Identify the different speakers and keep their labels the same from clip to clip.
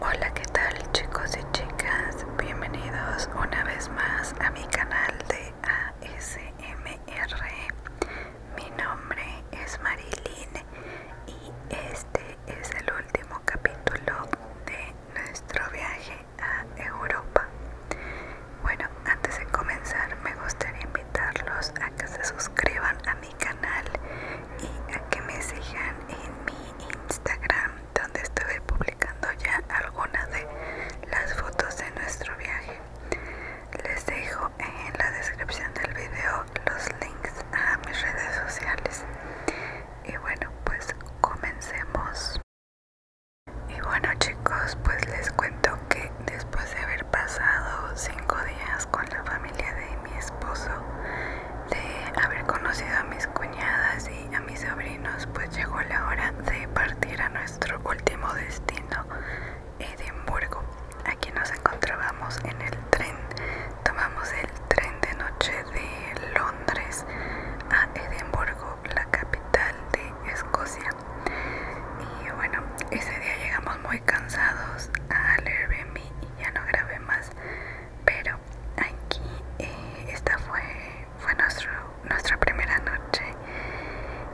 Speaker 1: Hola qué tal chicos y chicas, bienvenidos una vez más a mi canal de ASMR Mi nombre es Marilyn y este es el último capítulo de nuestro viaje a Europa Bueno, antes de comenzar me gustaría invitarlos a que se suscriban a mi canal y a que me sigan en mi Instagram donde estuve publicando ya algunas de las fotos de nuestro viaje. Les dejo en la descripción del vídeo los links a mis redes sociales. Y bueno, pues comencemos. Y bueno chicos, pues les cuento que después de haber pasado cinco días con la familia de mi esposo de haber conocido a mis cuñadas y a mis sobrinos, pues llegó la hora de partir a nuestro último destino, Edimburgo. Aquí nos encontrábamos en el tren, tomamos el tren de noche de Londres a Edimburgo, la capital de Escocia. Y bueno, ese día llegamos muy cansados al y ya no grabé más, pero aquí eh, esta fue, nuestra primera noche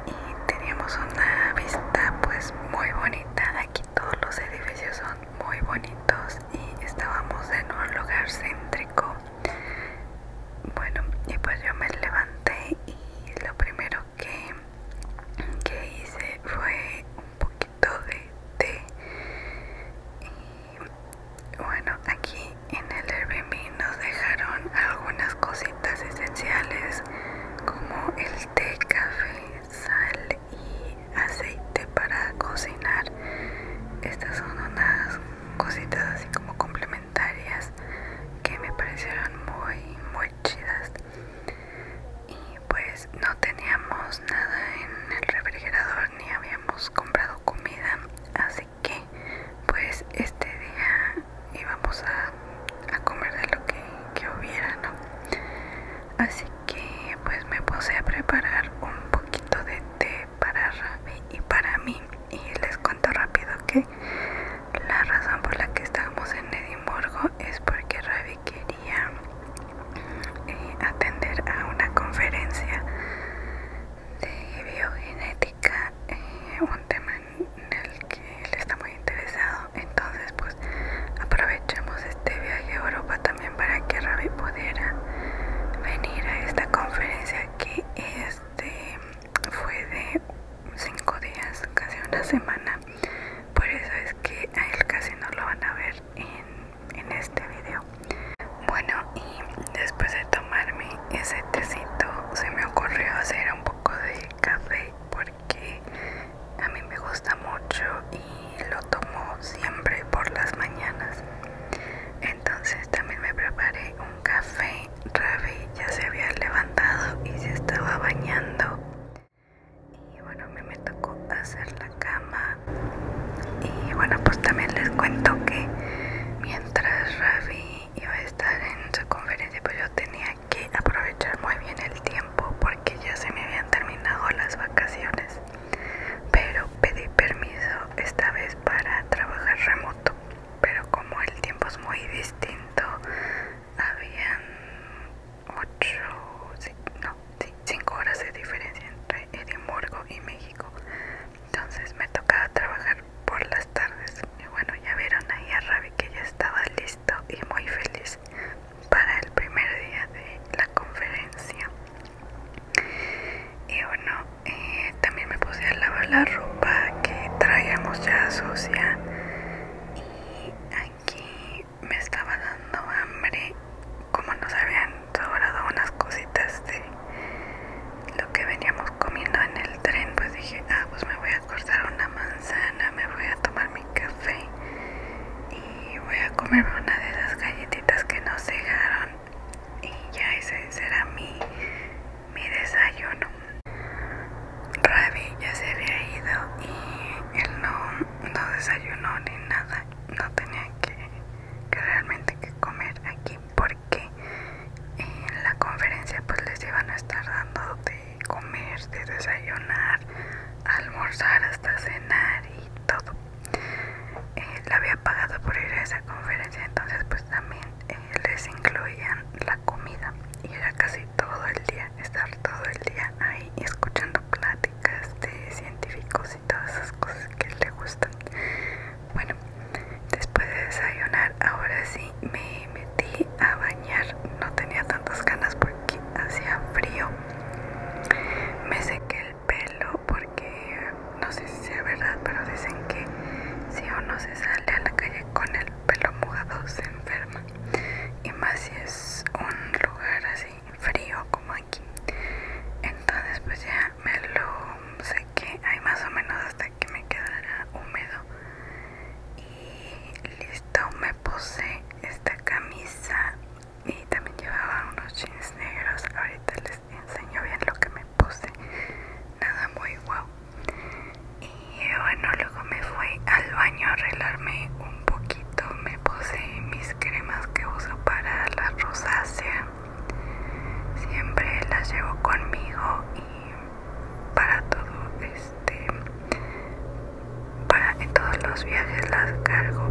Speaker 1: y teníamos una vista pues muy bonita. Aquí todos los edificios son muy bonitos y estábamos en un lugar céntrico. Bueno, y pues yo me levanté y lo primero que, que hice fue poquito de té y bueno aquí en el Airbnb nos dejaron algunas cositas esenciales como el té, café, sal y aceite para cocinar estas son unas cositas así como complementarias que me parecieron muy muy chidas y pues pues, no teníamos nada en el refrigerador ni habíamos comprado comida así que pues este día íbamos a, a comer de lo que, que hubiera no así que pues me puse a preparar un poquito de té para Ravi y para mí y les cuento rápido que la razón por la que estábamos en Edimburgo es porque Ravi quería eh, atender a una conferencia de biogenética, eh, un tema en el que él está muy interesado. Entonces, pues aprovechamos este viaje a Europa también para que Ravi pudiera venir a esta conferencia que este fue de cinco días, casi una semana. Por eso es que a él casi no lo van a ver en en este video bueno y después de tomarme ese tecito se me ocurrió hacer un poco de café porque a mí me gusta mucho y lo tomo siempre por las mañanas entonces también me preparé un café Ravi ya se había levantado y se estaba bañando bueno, me tocó hacer la cama y bueno, pues también les cuento que mientras Ravi iba a estar en su conferencia, pues yo tenía que aprovechar muy bien el tiempo porque ya se me habían terminado las vacaciones, pero pedí permiso esta vez para trabajar remoto, pero como el tiempo es muy distinto, habían ocho, no, 5 horas de diferencia entre Edimburgo y México. Entonces me tocaba trabajar por las tardes. Y bueno, ya vieron ahí a Ravi que ya estaba listo y muy feliz para el primer día de la conferencia. Y bueno, eh, también me puse a lavar la ropa que traíamos ya sucia. Y aquí me estaba dando hambre como nos habían sobrado unas cositas de lo que veníamos comiendo en el tren, pues dije, ah, pues me voy a cortar una manzana, me voy a tomar mi café y voy a comerme una de las galletitas que nos dejaron y ya ese será mi, mi desayuno. Ravi ya se había ido y él no, no desayunó ni nada, no tenía que que realmente hay que comer aquí porque en la conferencia pues les iban a estar dando de comer, de desayunar, almorzar hasta cenar y todo. Eh, la había pagado por ir a esa conferencia, entonces pues también eh, les incluían la comida y era casi todo el día, estar todo el día ahí escuchando pláticas de científicos todas esas cosas que le gustan. Bueno, después de desayunar, ahora sí me metí a bañar. No tenía tantas ganas porque hacía frío. Me seque el pelo porque no sé si es verdad, pero dicen que si uno se sale a la calle con el pelo mojado se enferma. Y más si es un lugar así frío como entonces pues ya me lo sequé ahí más o menos hasta que me quedara húmedo y listo me puse esta camisa y también llevaba unos jeans negros ahorita les enseño bien lo que me puse nada muy guau y eh, bueno luego me fui al baño a arreglarme un poquito me puse mis cremas que uso para la rosácea siempre las llevo conmigo y para todo este para en todos los viajes las cargo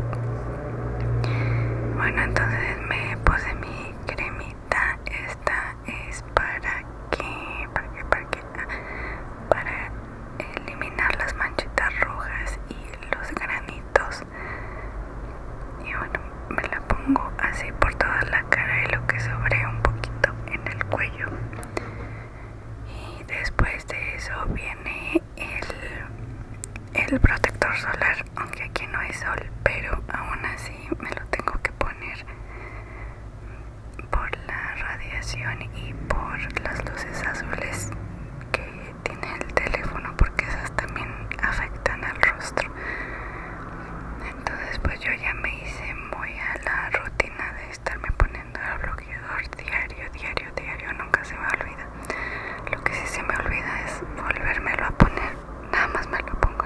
Speaker 1: bueno entonces me puse mi cremita esta es para que para para que ah, para eliminar las manchitas rojas y los granitos y bueno me la pongo así por toda la cara y lo que sobre un poquito en el cuello y después de eso viene el, el protector solar aunque aquí no hay sol pero aún así me lo tengo que poner por la radiación y por las luces azules que tiene el teléfono porque esas también afectan al rostro entonces pues yo ya me hice muy a la rutina de estarme poniendo el bloqueador diario diario diario nunca se me olvida lo que sí se me olvida es volvérmelo a poner nada más me lo pongo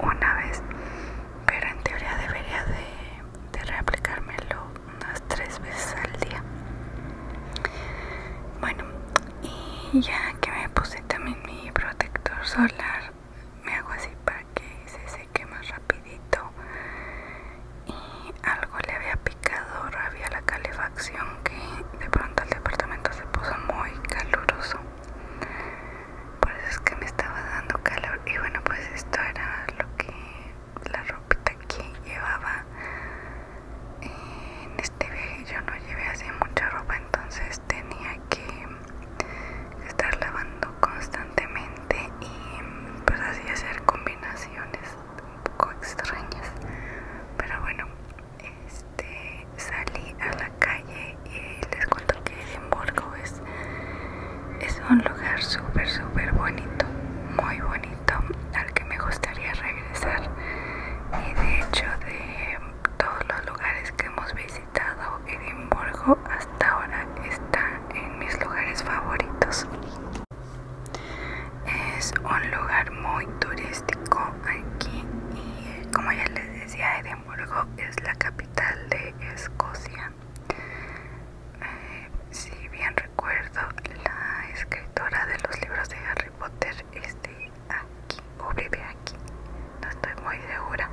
Speaker 1: una vez pero en teoría debería de, de reaplicármelo unas tres veces al día bueno y ya que me puse también mi protector solar me hago así para que se seque más rapidito y algo le había picado había la calefacción que de pronto el departamento se puso muy caluroso por eso es que me estaba dando calor y bueno pues esto era lo que la ropita que llevaba en este viaje yo no llevé así mucha ropa entonces tenía que estar lavando constantemente y pues así hacer combinaciones un poco extrañas pero bueno este salí a la calle y les cuento que Edimburgo es es un lugar súper súper bonito muy bonito al que me gustaría regresar y de hecho de todos los lugares que hemos visitado Edimburgo hasta ahora está en mis lugares favoritos es un lugar muy turístico aquí y como ya les decía Edimburgo es la capital de Escocia eh, si bien recuerdo la escritora de los libros de Harry poder este aquí o vive aquí, no estoy muy segura.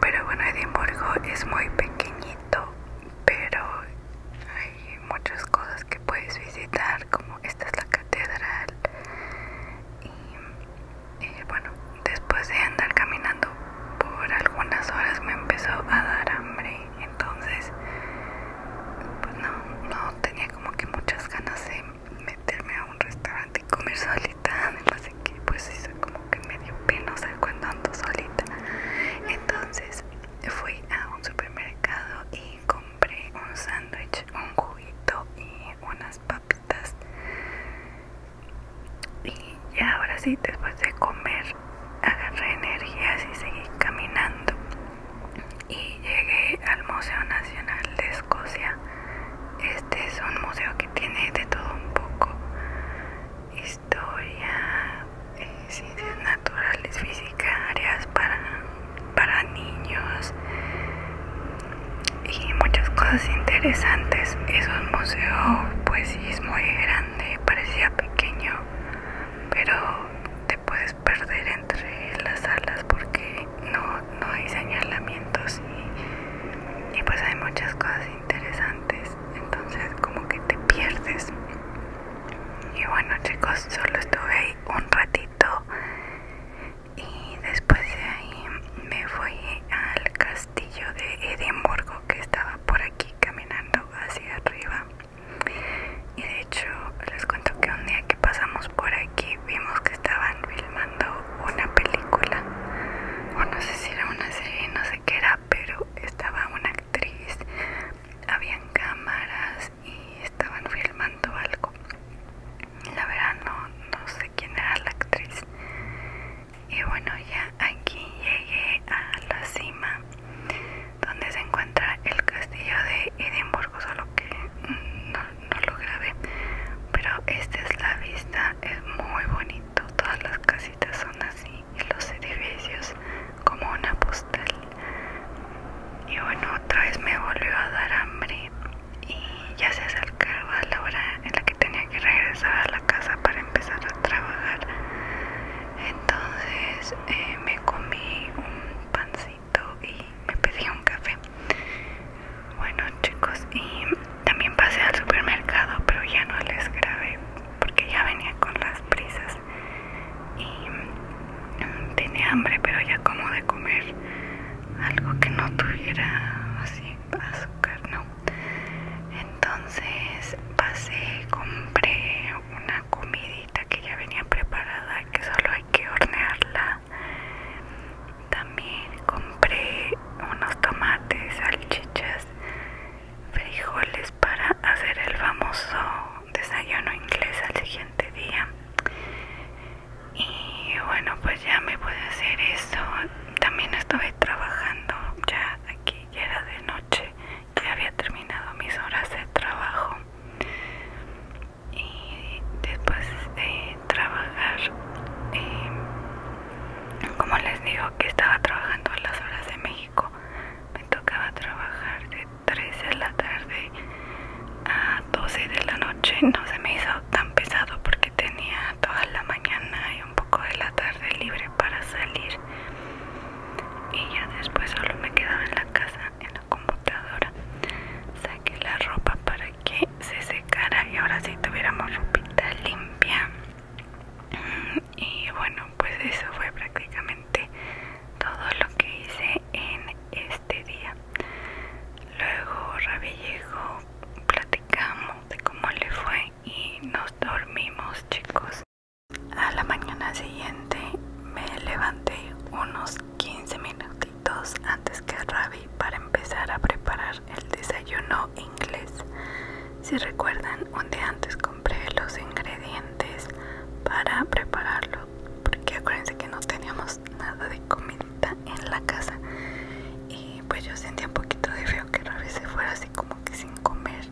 Speaker 1: Pero bueno, Edimburgo es muy pequeñito, pero hay muchas cosas que puedes visitar, como esta es la catedral. y eh, bueno, después de andar caminando por algunas horas me empezó a dar hambre entonces pues no, tenía como que muchas ganas de meterme a un restaurante y comer solita, Me que pues hizo como que medio pena, cuando ando solita. Entonces fui a un supermercado y compré un sándwich, un juguito y unas papitas. Y ya ahora sí, después de comer, agarré energías y seguí caminando y llegué al Museo Nacional de Escocia. Este es un museo que tiene de todo un poco. Historia, eh, ciencias naturales, físicas para, para niños y muchas cosas interesantes. Es un museo, pues sí, es muy grande, parecía pequeño, pero te puedes perder entre las alas porque no, hay señalamientos y, y pues hay muchas cosas interesantes entonces como que te pierdes y bueno chicos solo estuve ahí un ratito y después de ahí me fui al castillo de Edimburgo que estaba por aquí caminando hacia arriba y de hecho les cuento que un día que pasamos por aquí vimos que estaban filmando una película o no sé si era una serie no sé qué era pero estaba una actriz habían cámaras y estaban filmando algo la verdad no, no sé quién era la actriz y bueno ya aquí llegué a la cima donde se encuentra el castillo de Edimburgo, solo que no, lo grabé. Pero esta es la vista, es muy bonito, todas las casitas son así y los edificios como una postal. Y bueno, otra vez me volvió a dar hambre y ya se acercaba la hora en la que tenía que regresar a la casa para empezar a trabajar. Entonces eh, me comí un pancito y me pedí un café. Bueno chicos, y también pasé al supermercado, pero ya no les grabé porque ya venía con las prisas y mm, tenía hambre, pero ya como de comer algo que no tuviera así azúcar, no. Entonces pasé, compré una comidita que ya venía preparada que solo hay que hornearla también compré unos tomates, salchichas, frijoles para hacer el famoso desayuno inglés al siguiente día y bueno pues ya me pude hacer eso también estuve trabajando ya aquí ya era de noche ya había terminado mis horas de trabajo y después de trabajar eh, como les digo que estaba trabajando a las horas de México me tocaba trabajar de 3 de la tarde a 12 de la noche no se me hizo tan pesado porque tenía toda la mañana y un poco de la tarde libre para salir y ya después solo me quedaba en la casa computadora saqué la ropa para que se secara y ahora sí tuviéramos ropita limpia y bueno pues eso fue prácticamente todo lo que hice en este día luego Rabi llegó platicamos de cómo le fue y nos dormimos chicos a la mañana siguiente me levanté unos 15 minutitos antes que Ravi para empezar a preparar el desayuno inglés. Si recuerdan, un día antes compré los ingredientes para prepararlo, porque acuérdense que no teníamos nada de comida en la casa. Y pues yo sentía un poquito de feo que Ravi se fuera así como que sin comer,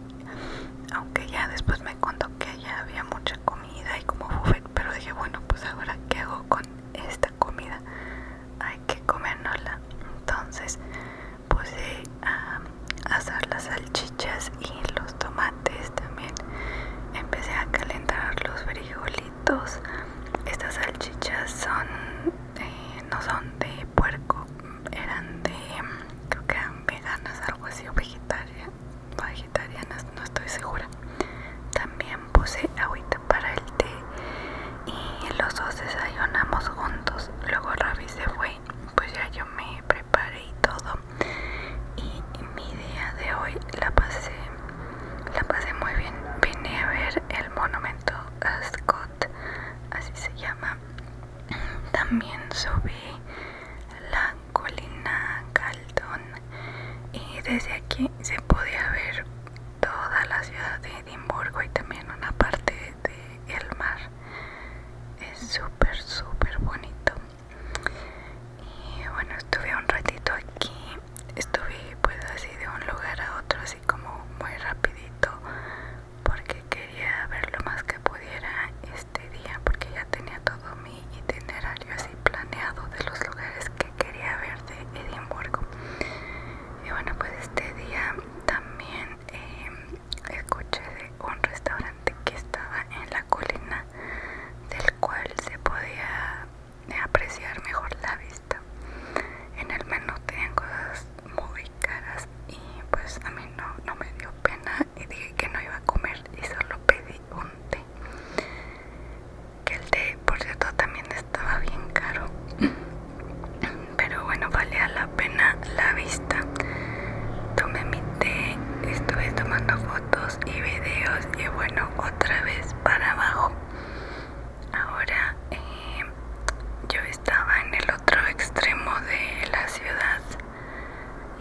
Speaker 1: aunque ya después me contó que ya había mucha comida y como fue pero dije, bueno, pues ahora qué hago con esta comida, hay que comérnosla. Entonces puse a asar las salchichas y los tomates también. Empecé a calentar los frijolitos. Estas salchichas son, eh, no son de puerco, eran de, creo que eran veganas, algo así, o vegetarias vegetarianas, no estoy segura. También puse agüita para el té y los dos desayunamos juntos. Luego Ravi se fue, pues ya yo me preparé y todo. Y mi día de hoy la pasé, la pasé muy bien. Vine a ver el monumento a Scott, así se llama. También subí la colina Caldón y desde aquí se podía ver toda la ciudad de Edimburgo y también una parte del el mar es súper súper bonito y bueno estuve un ratito aquí estuve pues así de un lugar a otro así como muy rapidito porque quería ver lo más que pudiera este día porque ya tenía todo tener itinerario así planeado de los lugares que quería ver de Edimburgo. Y bueno, pues este día también eh, escuché de un restaurante que estaba en la colina del cual se podía eh, apreciar mejor la vista. En el menú tenían cosas muy caras y pues a mí no me dio pena y dije que no iba a comer y solo pedí té. Que el té, por cierto, también estaba bien caro. Pero bueno, valía la pena la vista. Tomé mi té, estuve tomando fotos y videos y bueno, otra vez para abajo. Ahora eh, yo estaba en el otro extremo de la ciudad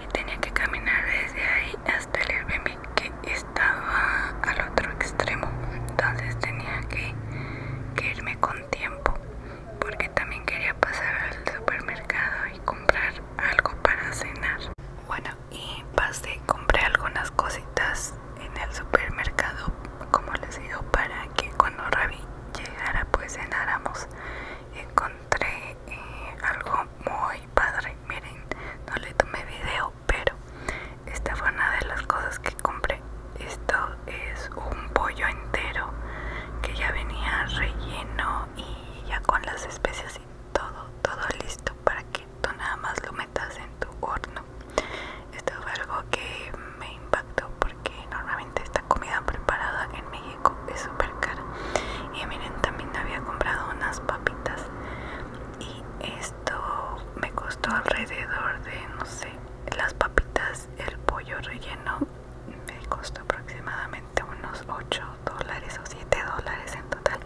Speaker 1: y tenía que caminar desde ahí hasta el Airbnb que estaba al otro extremo entonces tenía que, irme con tiempo porque también quería pasar al supermercado y comprar algo para cenar bueno y pasé compré algunas cositas en el supermercado como les digo para que cuando Ravi llegara pues cenáramos encontré eh, algo muy padre miren no le tomé video pero esta fue una de las cosas que compré esto es un pollo entero que ya venía relleno y ya con las especias y todo todo listo para que tú nada más lo metas en tu horno esto fue algo que me impactó porque normalmente esta comida preparada en es súper cara y miren también había comprado unas papitas y esto me costó alrededor de no sé las papitas el pollo relleno me costó aproximadamente unos 8 dólares o 7 dólares en total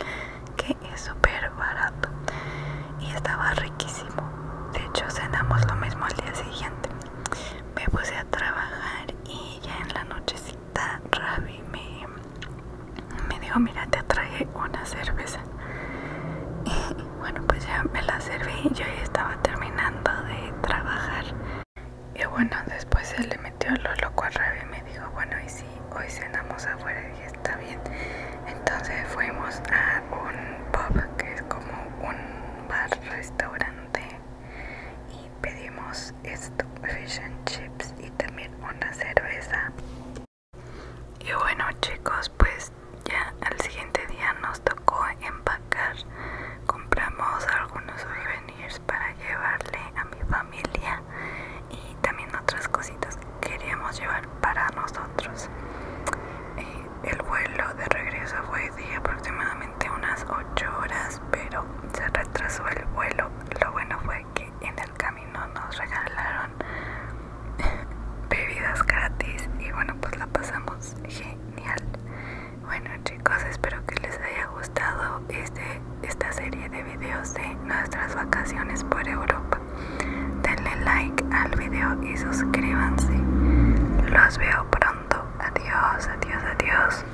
Speaker 1: que es súper barato y estaba riquísimo de hecho cenamos lo mismo al día siguiente me puse a trabajar y ya en la noche sí Rabbi Ravi me, me dijo, mira, te traje una cerveza. Y bueno, pues ya me la serví, yo ya estaba terminando de trabajar. Y bueno, después se le metió lo loco a Ravi y me dijo, bueno, y si hoy cenamos afuera y está bien. Entonces fuimos a un pub que es como un bar restaurante pedimos esto, fish and chips y también una cerveza. Y bueno chicos, pues ya al siguiente día nos tocó empacar. Compramos algunos souvenirs para llevarle a mi familia y también otras cositas que queríamos llevar para nosotros. Eh, el vuelo de regreso fue de aproximadamente unas 8 horas, pero se retrasó el vuelo. Lo bueno fue que en el camino nos regalaron bebidas gratis y bueno pues la pasamos genial bueno chicos espero que les haya gustado este esta serie de videos de nuestras vacaciones por Europa denle like al video y suscríbanse los veo pronto adiós adiós adiós